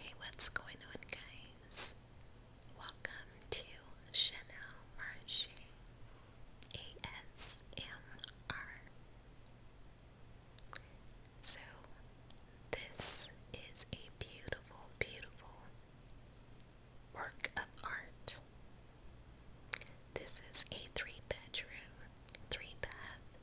Hey, what's going on, guys? Welcome to Chanel Marche ASMR. So, this is a beautiful, beautiful work of art. This is a three bedroom, three bath,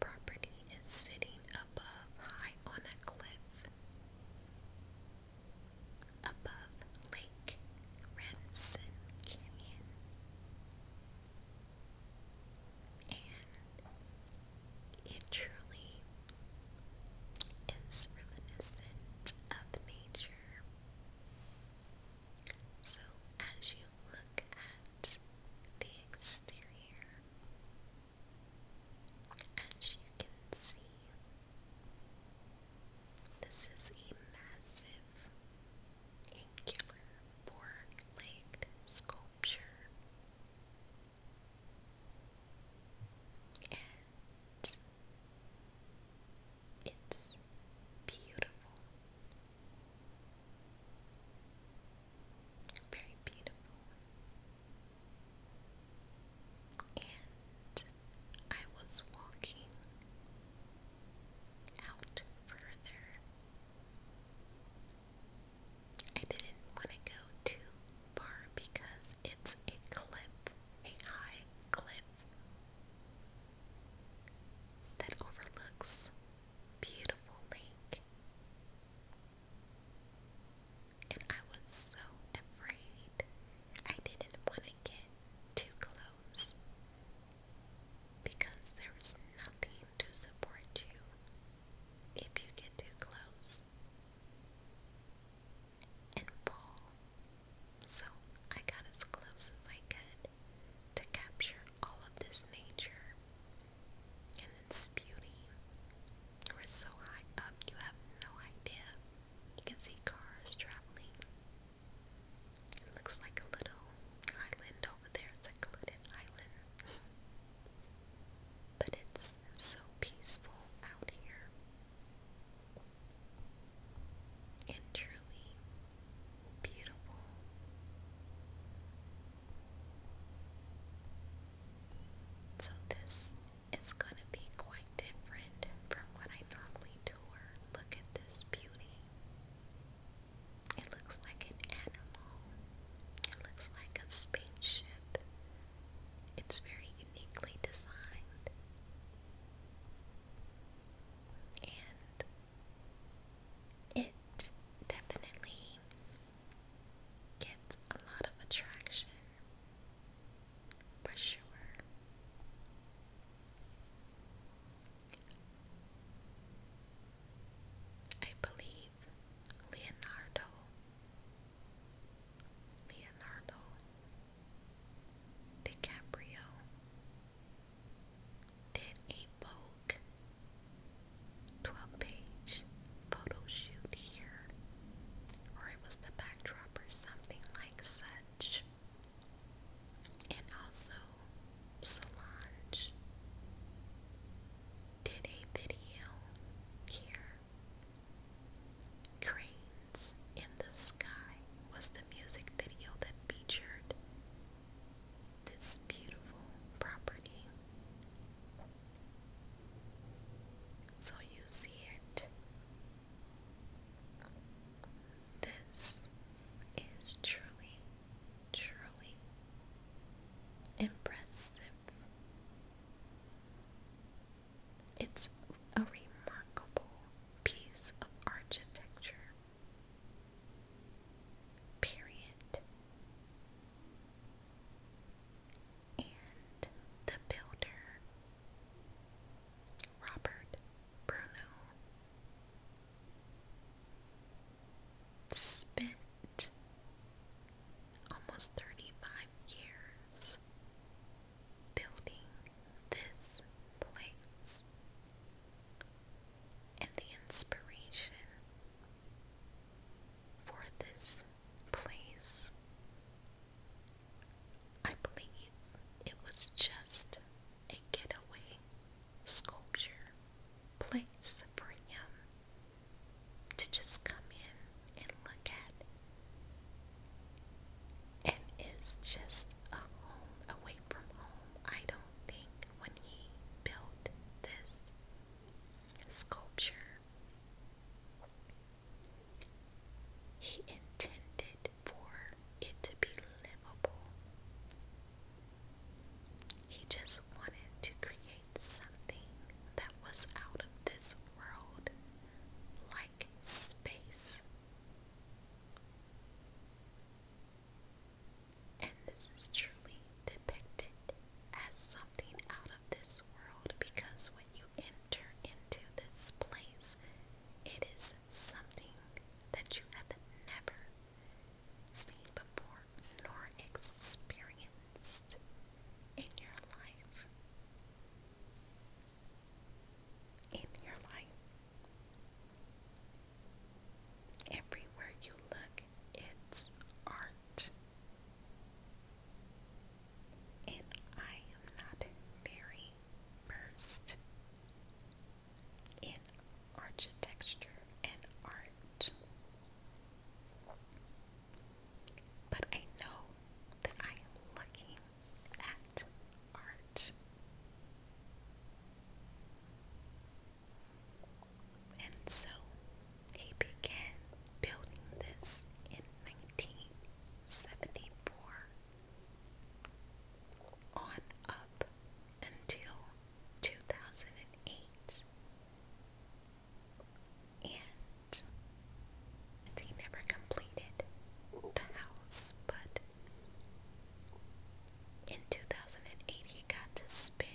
property is sitting above high on a cliff. Above Lake Renson Canyon. And it truly is reminiscent of nature. So as you look at the exterior as you can see, this is a massive angular four-legged sculpture. And it's beautiful. Very beautiful. And I was walking out further. I didn't want to go too far because it's a cliff, a high cliff that overlooks beautiful lake. And I was so afraid. I didn't want to get too close because there nothing to support you if you get too close. And pull. So I got as close as I could to capture all of this nature and then Sputy. We're so high up, you have no idea. You can see cars traveling. It looks like a little island over there. It's like a little island. but it's so peaceful out here. And truly beautiful. So this is going to be quite different from what I normally tour. Look at this beauty. It looks like an animal. It looks like a spaceship. It's very uniquely designed. And it definitely gets a lot of attraction for sure. I believe Leonardo, Leonardo DiCaprio did a boat book. 12 page photo here, or it was the backdrop or something like such. And also, Solange did a video here. Cranes in the Sky was the music video that featured this beautiful property so you see it. This is truly, truly impressive. It's a remarkable piece of architecture. Period and the builder Robert Bruno spent almost 35 years building this place. And the inspiration for this place. I believe it was just a getaway sculpture place for him to just come in and look at. it's just a home away from home. I don't think when he built this sculpture. He intended for it to be livable. He just wanted to create something that was out of this world, like space and this is truly depicted as something out of this world because when you enter into this place, it is something that you have never seen before nor experienced in your life. In your life, everywhere you look, it's art. And I am not very versed in architecture and art. But I know that I am looking at art. And so he began building this in 1974 on up until 2008. And he never completed the house, but in 2008 he got to spend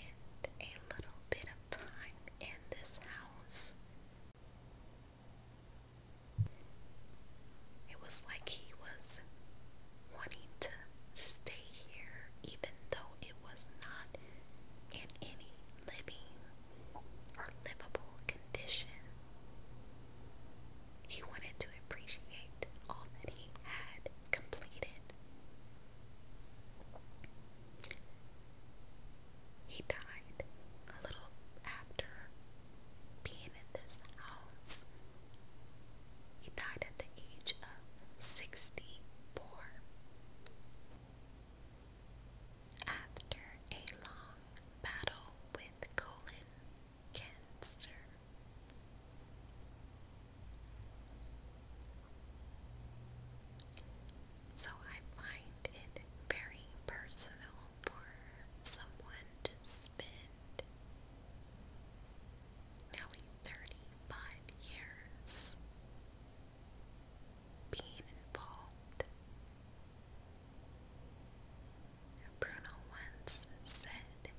a little bit of time in this house. It was like he was wanting to stay here, even though it was not in any living or livable condition. He wanted to appreciate all that he had completed. He died a little after being in this house. He died at the age of 64 after a long battle with colon cancer. So I find it very personal for someone to spend nearly 35 years being involved. Bruno once said,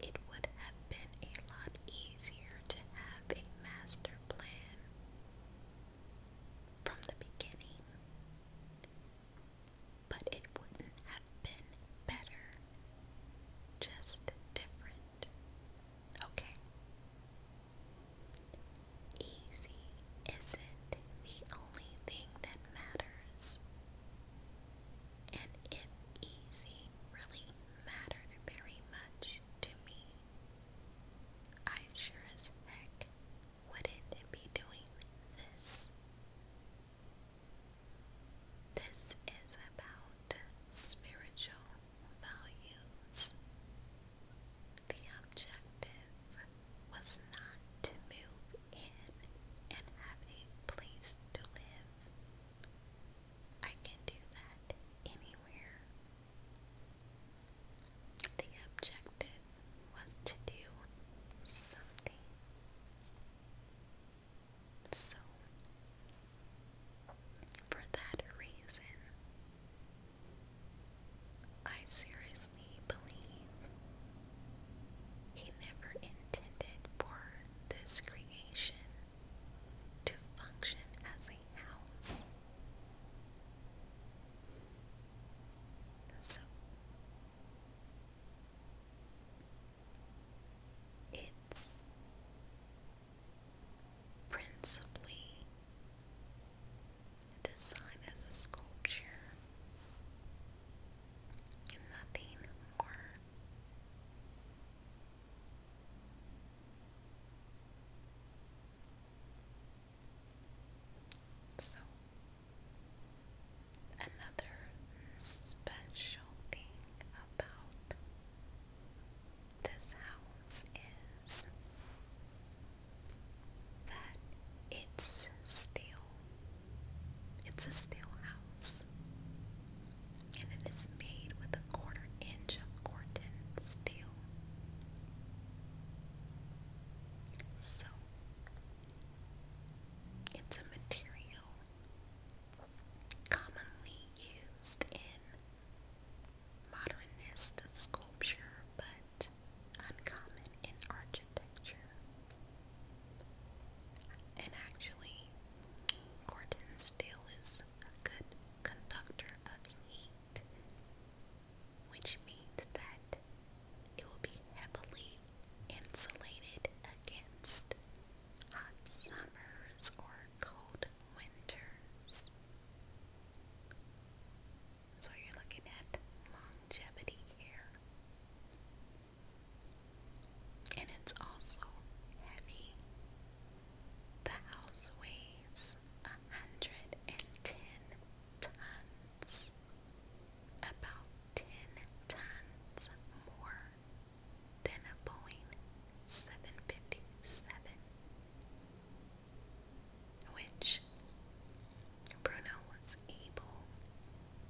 it would have been a lot easier to have a master plan from the beginning, but it wouldn't have been better, just different. Okay? Easy isn't the only thing that matters. And if easy really mattered very much to me. I sure as heck wouldn't be doing this. This is about spiritual values. The objective was not to move in and have a place to live, I can do that anywhere. The objective was to do something. So, for that reason, I seriously believe he never intended for this creation to function as a house. So it's principally designed as a sculpture, nothing more. So, another special thing about this house is that it's steel. It's a steel and it is made with a quarter inch of Corten steel. So, it's a material commonly used in modernist sculpture but uncommon in architecture. And actually, Corten steel is a good conductor of heat, which means that it will be heavily insulated against hot summers or cold winters. So you're looking at longevity here and it's also heavy. The house weighs a hundred and ten tons, about ten tons more than a Boeing 757, which Bruno was able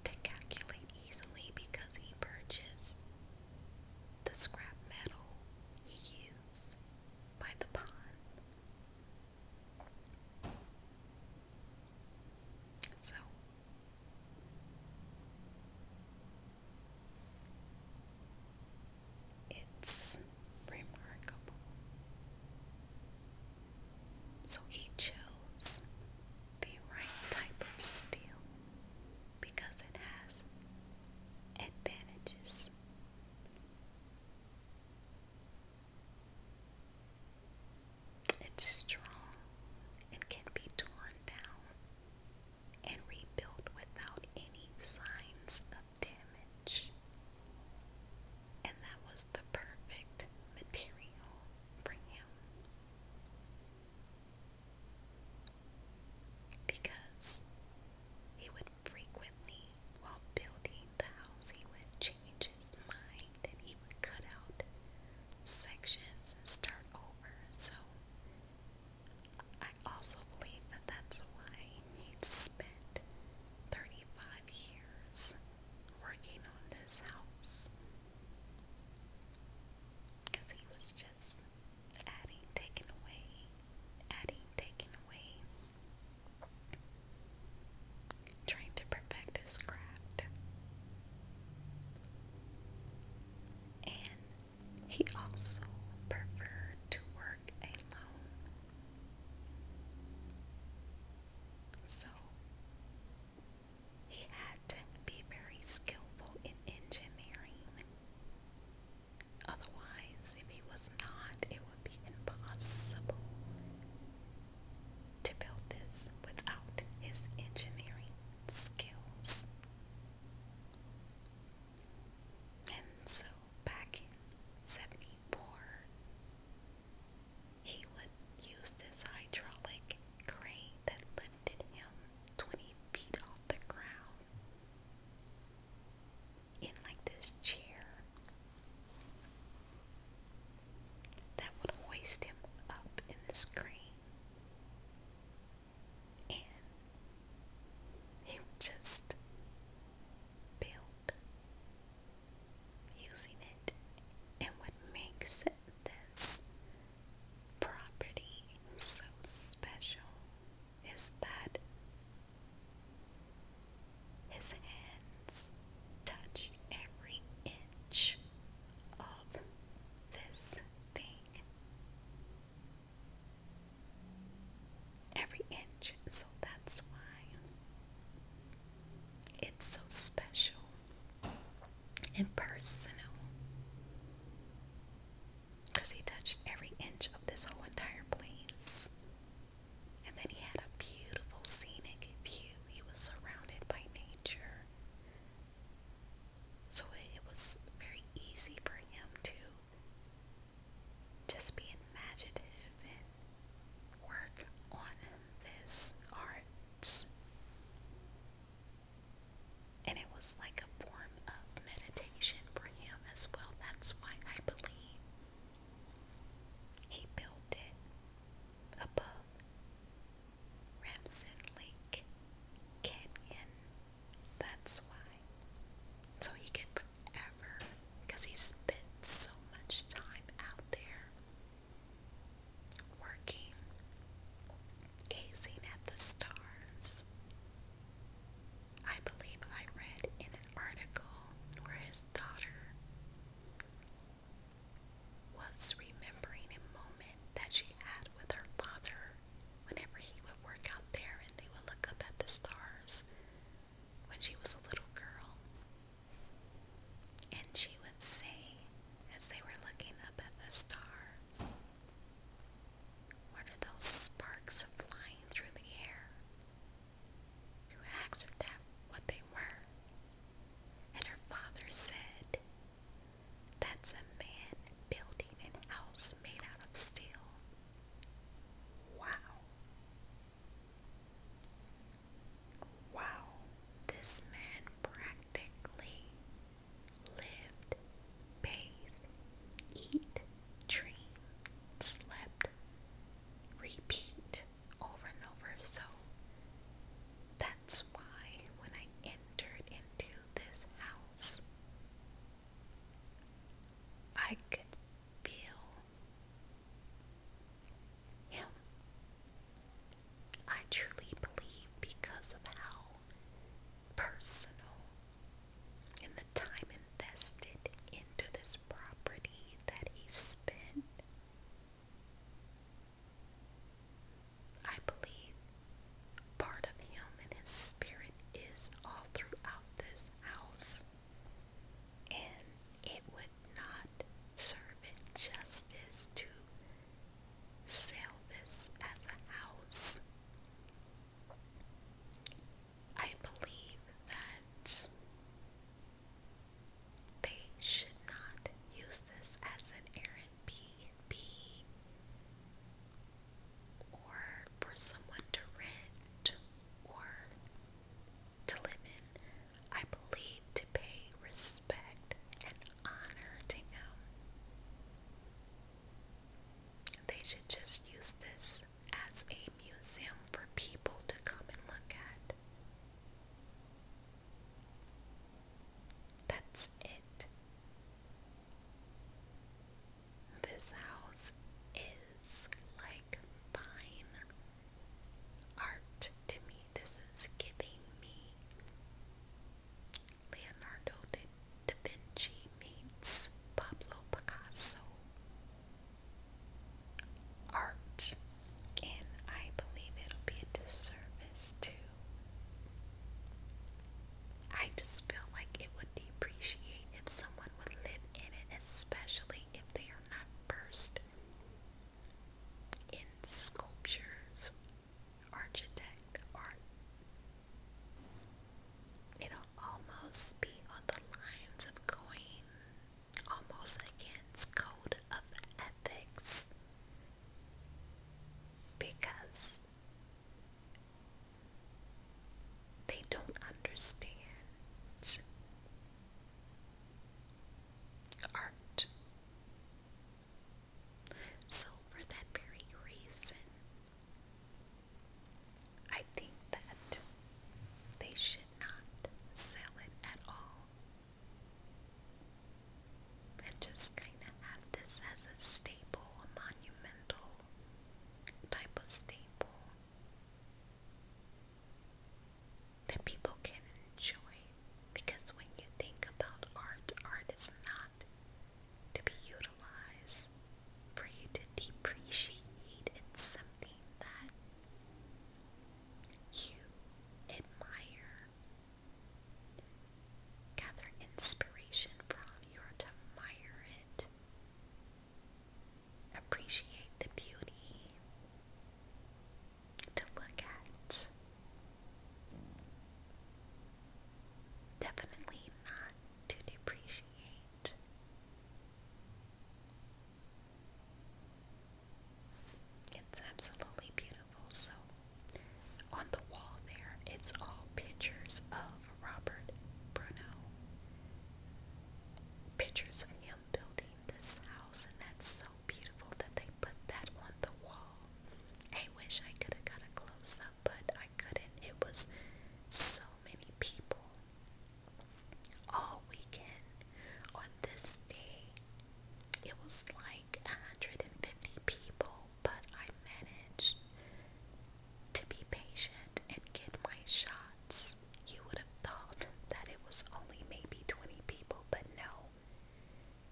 to calculate easily because he purchased the scrap metal he used by the pond. So it's remarkable. So he chose the right type of steel because it has advantages. It's strong and can be torn down and rebuilt without any signs of damage. And that was the perfect material for him. Because he would frequently, while building the house, he would change his mind and he would cut out sections and start over. So I also believe that that's why he spent 35 years working on this house because he was just adding, taking away, adding, taking away, trying to perfect his craft. And he also preferred to work alone. So he had to be very skillful in engineering. Otherwise, if he was not, it would be impossible to build this without his engineering skills. And so, back in 74, he would use this hydraulic crane that lifted him twenty feet off the ground in like this chair that would hoist him up in this crane and he just built using it and would make sense this property so special is that his hands touch every inch of this thing. Every inch, so that's why it's so special and personal. Because he touched every inch of this whole entire place. And then he had a beautiful scenic view. He was surrounded by nature. So it was very easy for him to just be imaginative and work on this art. And it was like a form of meditation for him as well. That's why I believe he built it above Ramson Lake Canyon. That's why. So he could forever, because he spent so much time out there working, gazing at the stars. I believe I read in an article where his daughter was remembering a moment that she had with her father whenever he would work out there and they would look up at the stars when she was a little girl. And she would say, as they were looking up at the stars. What are those sparks flying through the air? You asked that what they were, and her father said, That's a man building an house made out of steel. Wow. Wow, this man practically lived, bathed, eat, dream, slept, repeat over and over. So that's why when I entered into this house, I could feel him. I truly believe because of how personal and the time invested into this property that he spent, I believe part of him and his spirit is all throughout this house. And it would not serve it justice to sell this as a house. I believe that they should not use this as an Airbnb or for someone to rent or to live in. I believe to pay respect and honor to them. They should just use this as a museum for people to come and look at. That's it. This house is like fine art to me. This is giving me Leonardo da Vinci meets Pablo Picasso art, and I believe it'll be a disservice too. I just feel like it would depreciate if someone would live in it, especially if they are not first in sculptures architect art. It'll almost be on the lines of going almost against code of ethics because they don't understand art so, for that very reason, I think that they should not sell it at all. And just kind of have this as a staple, monumental type of staple that people can enjoy because when you think about art, art is not to be utilized for you to depreciate. It's something that you admire, gather inspiration from, you admire it, appreciate the beauty to look at. Definitely not to depreciate. It's absolutely beautiful. So, on the wall there, it's all pictures of Robert Bruno. Pictures of him building this house, and that's so beautiful that they put that on the wall. I wish I could have got a close up, but I couldn't. It was so many people all weekend on this day. It was like 150 people, but I managed to be patient and get my shots. You would have thought that it was only maybe 20 people, but no.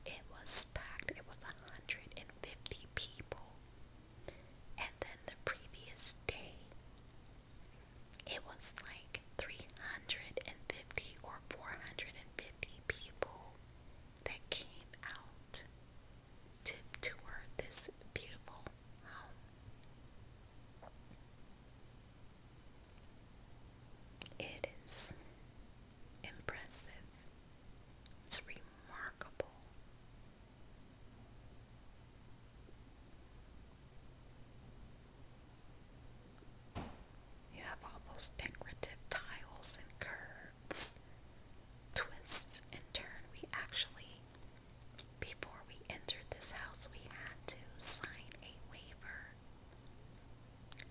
It was packed. It was 150 people. And then the previous day, it was like 350 or 450 people that came out to tour this beautiful home. It is impressive. It's remarkable. You have all decorative tiles and curves, twists and turns. We actually, before we entered this house, we had to sign a waiver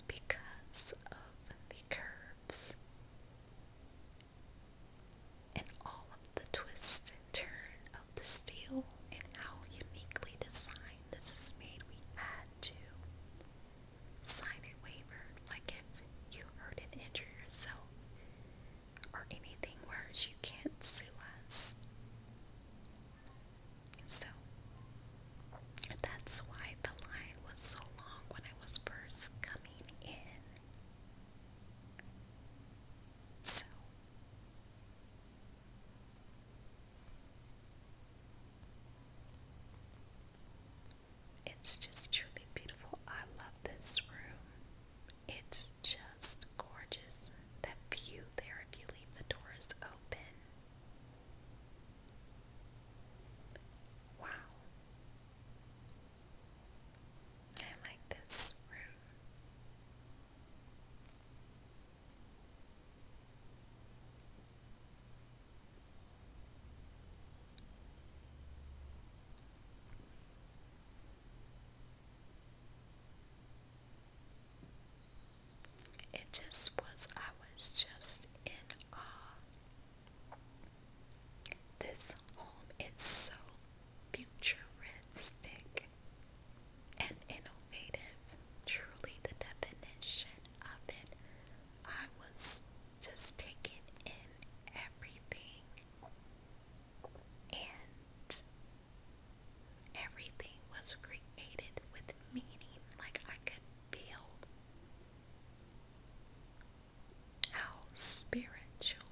because of the curves and all of the twist and turn of the steel and how uniquely designed this is made. We add to sign a waiver, like if you hurt and injure yourself or anything worse, you can't sue us. So that's why the line was so long when I was first coming in. So it's just truly beautiful. I love this room. It's just gorgeous. That view there if you leave the doors open. Wow. I like this room it just was, I was just in awe. This home is so futuristic and innovative, truly the definition of it. I was just taking in everything and Everything was created with meaning, like I could feel how spiritual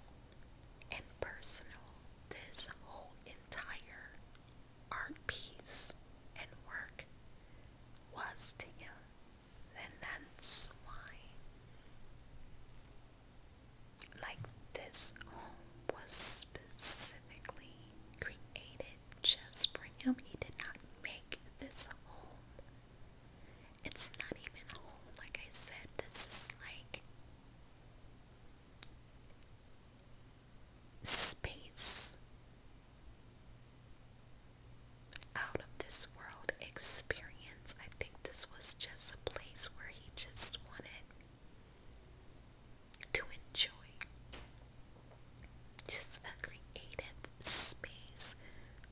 and personal this whole entire art piece and work was to him. And that's why, like, this home was specific specifically created just for him. He did not make this home. It's not even home, like I said. This is like space out of this world experience. I think this was just a place where he just wanted to enjoy. Just a creative space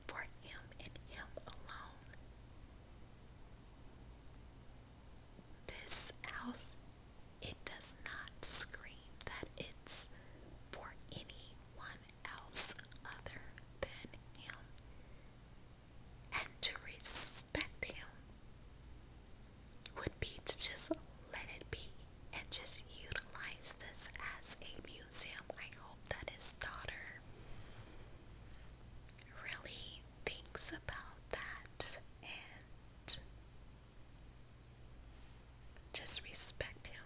for him and him alone. This house, it does not scream that it's for anyone else other than him. And to respect him would be to just let it be and just utilize this as a museum. I hope that his daughter really thinks about that and just respect him.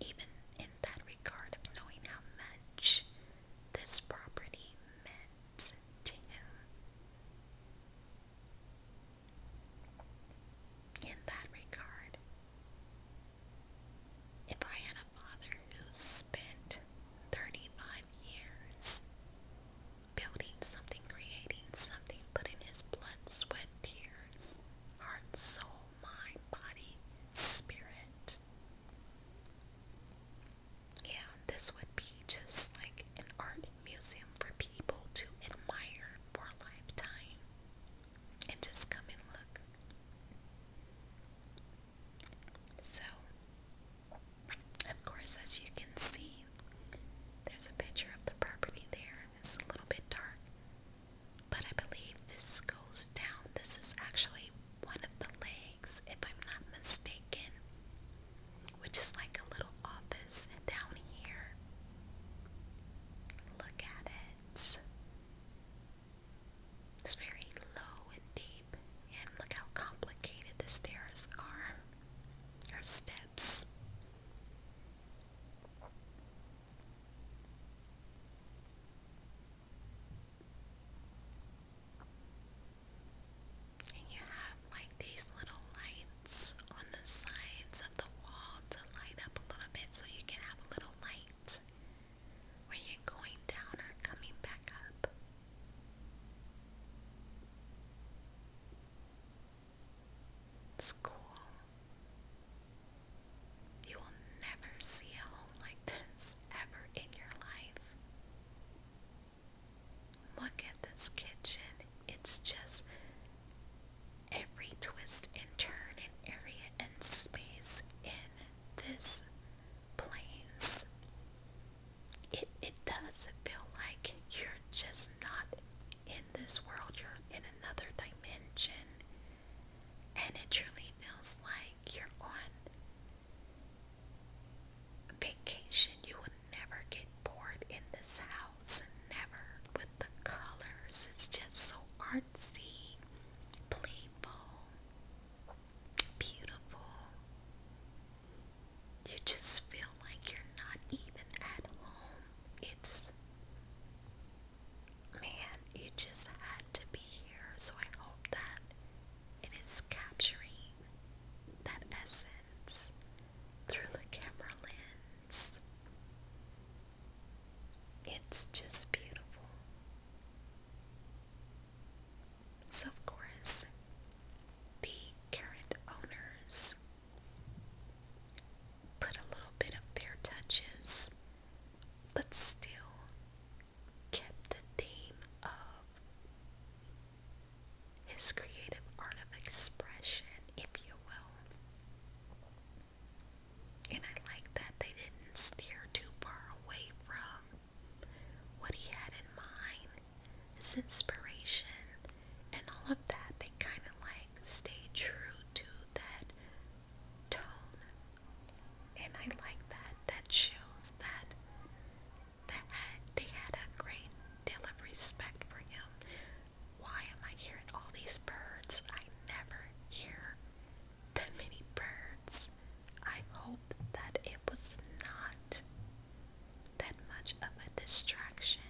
Even in that regard of knowing how much this property meant to him. In that regard, if I had a father who spent 35 years building something, creating something, putting his blood, sweat, tears, heart, soul, mind, body, spirit yeah, this would be just like an art museum for people to admire for a lifetime and just come and look. So, of course, as you can see, there's a picture of the property there. It's a little bit dark, but I believe this goes down. This is actually one of the legs if I'm not mistaken, which is like a little office down here. Look at it. It's very low and deep, and look how complicated the stairs are, or steps. And you have like these little lights on the sides of the wall to light up a little bit so you can have a little light where you're going down or coming back up. It's cool. You will never see a home like this ever in your life. Look at this kitchen. It's just every twist and turn and area and space in this place. It it does feel like you're just not in this world, you're in another dimension. And it truly feels like you're on vacation. You would never get bored in this house. Never with the colors. It's just so artsy, playful, beautiful. You just feel like you're not even at home. It's man, you just had to be here. So I hope that it is capturing that essence through the camera lens. It's just beautiful. So, of course, the current owners put a little bit of their touches, but still kept the theme of his creative art of expression, if you will. And I like that they didn't steer too far away from what he had in mind, his inspiration, and all of that. They kind of like stay true to that tone. And I like that. That shows that that they had a great deal of respect for him. Why am I hearing all these birds? I never hear that many birds. I hope that it was not that much of a distraction.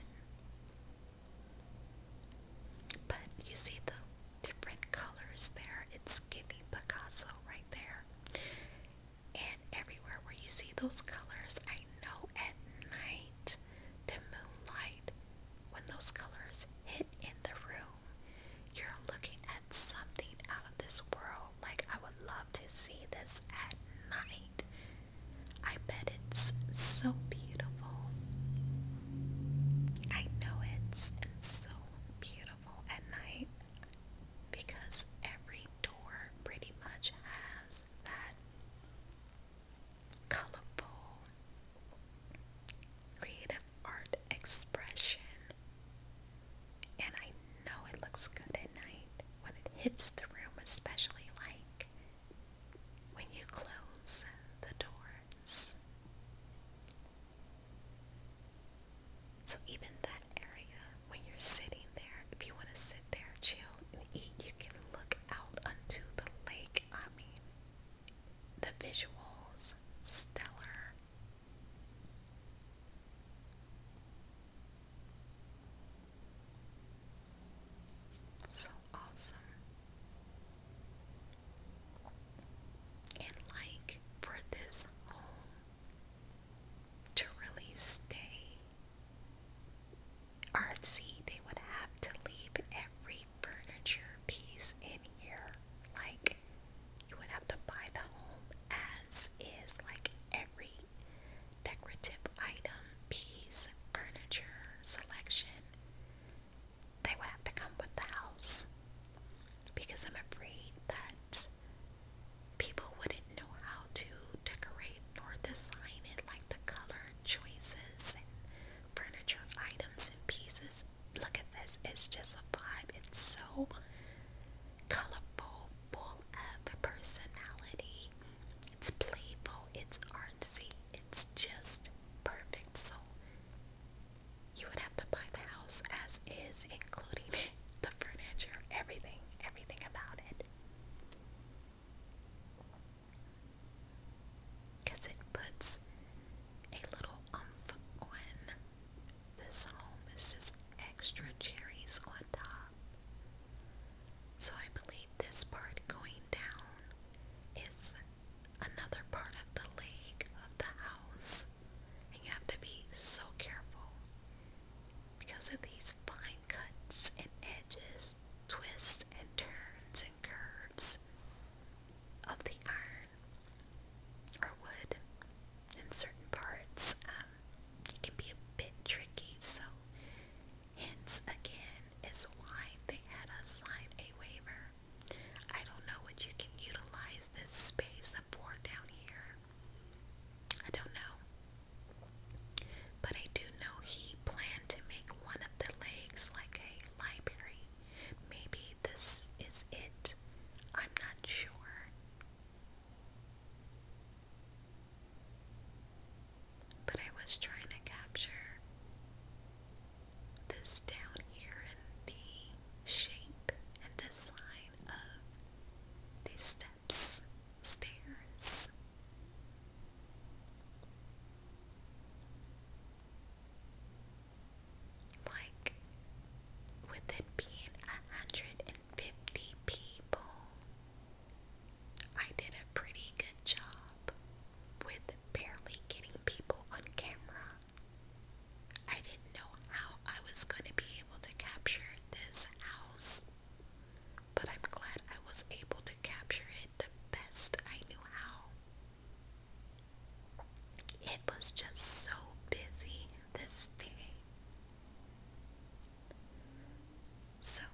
But you see the different colors there. It's giving Picasso right there. And everywhere where you see those colors, I know at night, the moonlight, when those colors hit in the room, you're looking at something out of this world. Like, I would love to see this at night. I bet it's so beautiful. I know it's so beautiful at night because every door pretty much has that colorful creative art expression. And I know it looks good at night when it hits the room, especially like when you close the doors. So, even that area, when you're sitting there, if you want to sit there, chill, and eat, you can look out onto the lake. I mean, the visuals, stellar. So awesome. And like for this home, to really stay artsy, they would have to leave every furniture piece in here. Like, you would have to buy the home as is, like every decorative item, piece, furniture, selection. They would have to come with the house because I'm afraid that people wouldn't know how to decorate or design it, like the color choices and furniture items and pieces. Look at this, it's just a vibe. It's so colorful, full of personality. It's playful, it's artsy, it's just perfect. So, you would have to buy the house as is, including the furniture, everything, everything about it. it puts a little umph on. This home is just extra cherries on top. So I believe this part going down is another part of the leg of the house and you have to be so careful because of these fine cuts and edges, twists and turns and curves of the iron or wood in certain parts. Um, it can be a bit tricky, so hence again is why they had us sign a waiver. I don't know what you can utilize this space up for down here. I don't know. But I do know he planned to make one of the legs like a library. Maybe this is it. I'm not sure. But I was trying to capture this down here in the shape and the design side the steps, stairs. Like, with it being a hundred and fifty people, I did a pretty good job with barely getting people on camera. I didn't know how I was going to be able to capture this house, but I'm glad I was able to capture it the best I knew how. It was just so busy this day. So,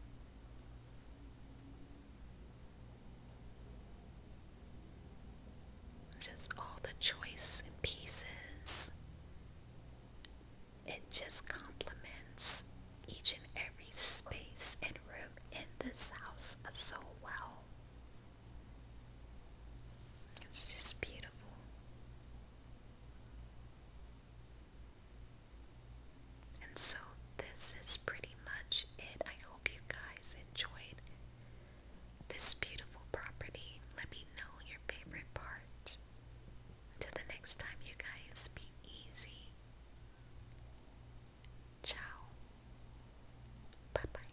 just all the choice and pieces. It just complements each and every space and room in this house so well. It's just beautiful. And so, this is pretty much it. I hope you guys enjoyed this beautiful property. Let me know your favorite part. Till the next time, you guys, be easy. Ciao. Bye bye.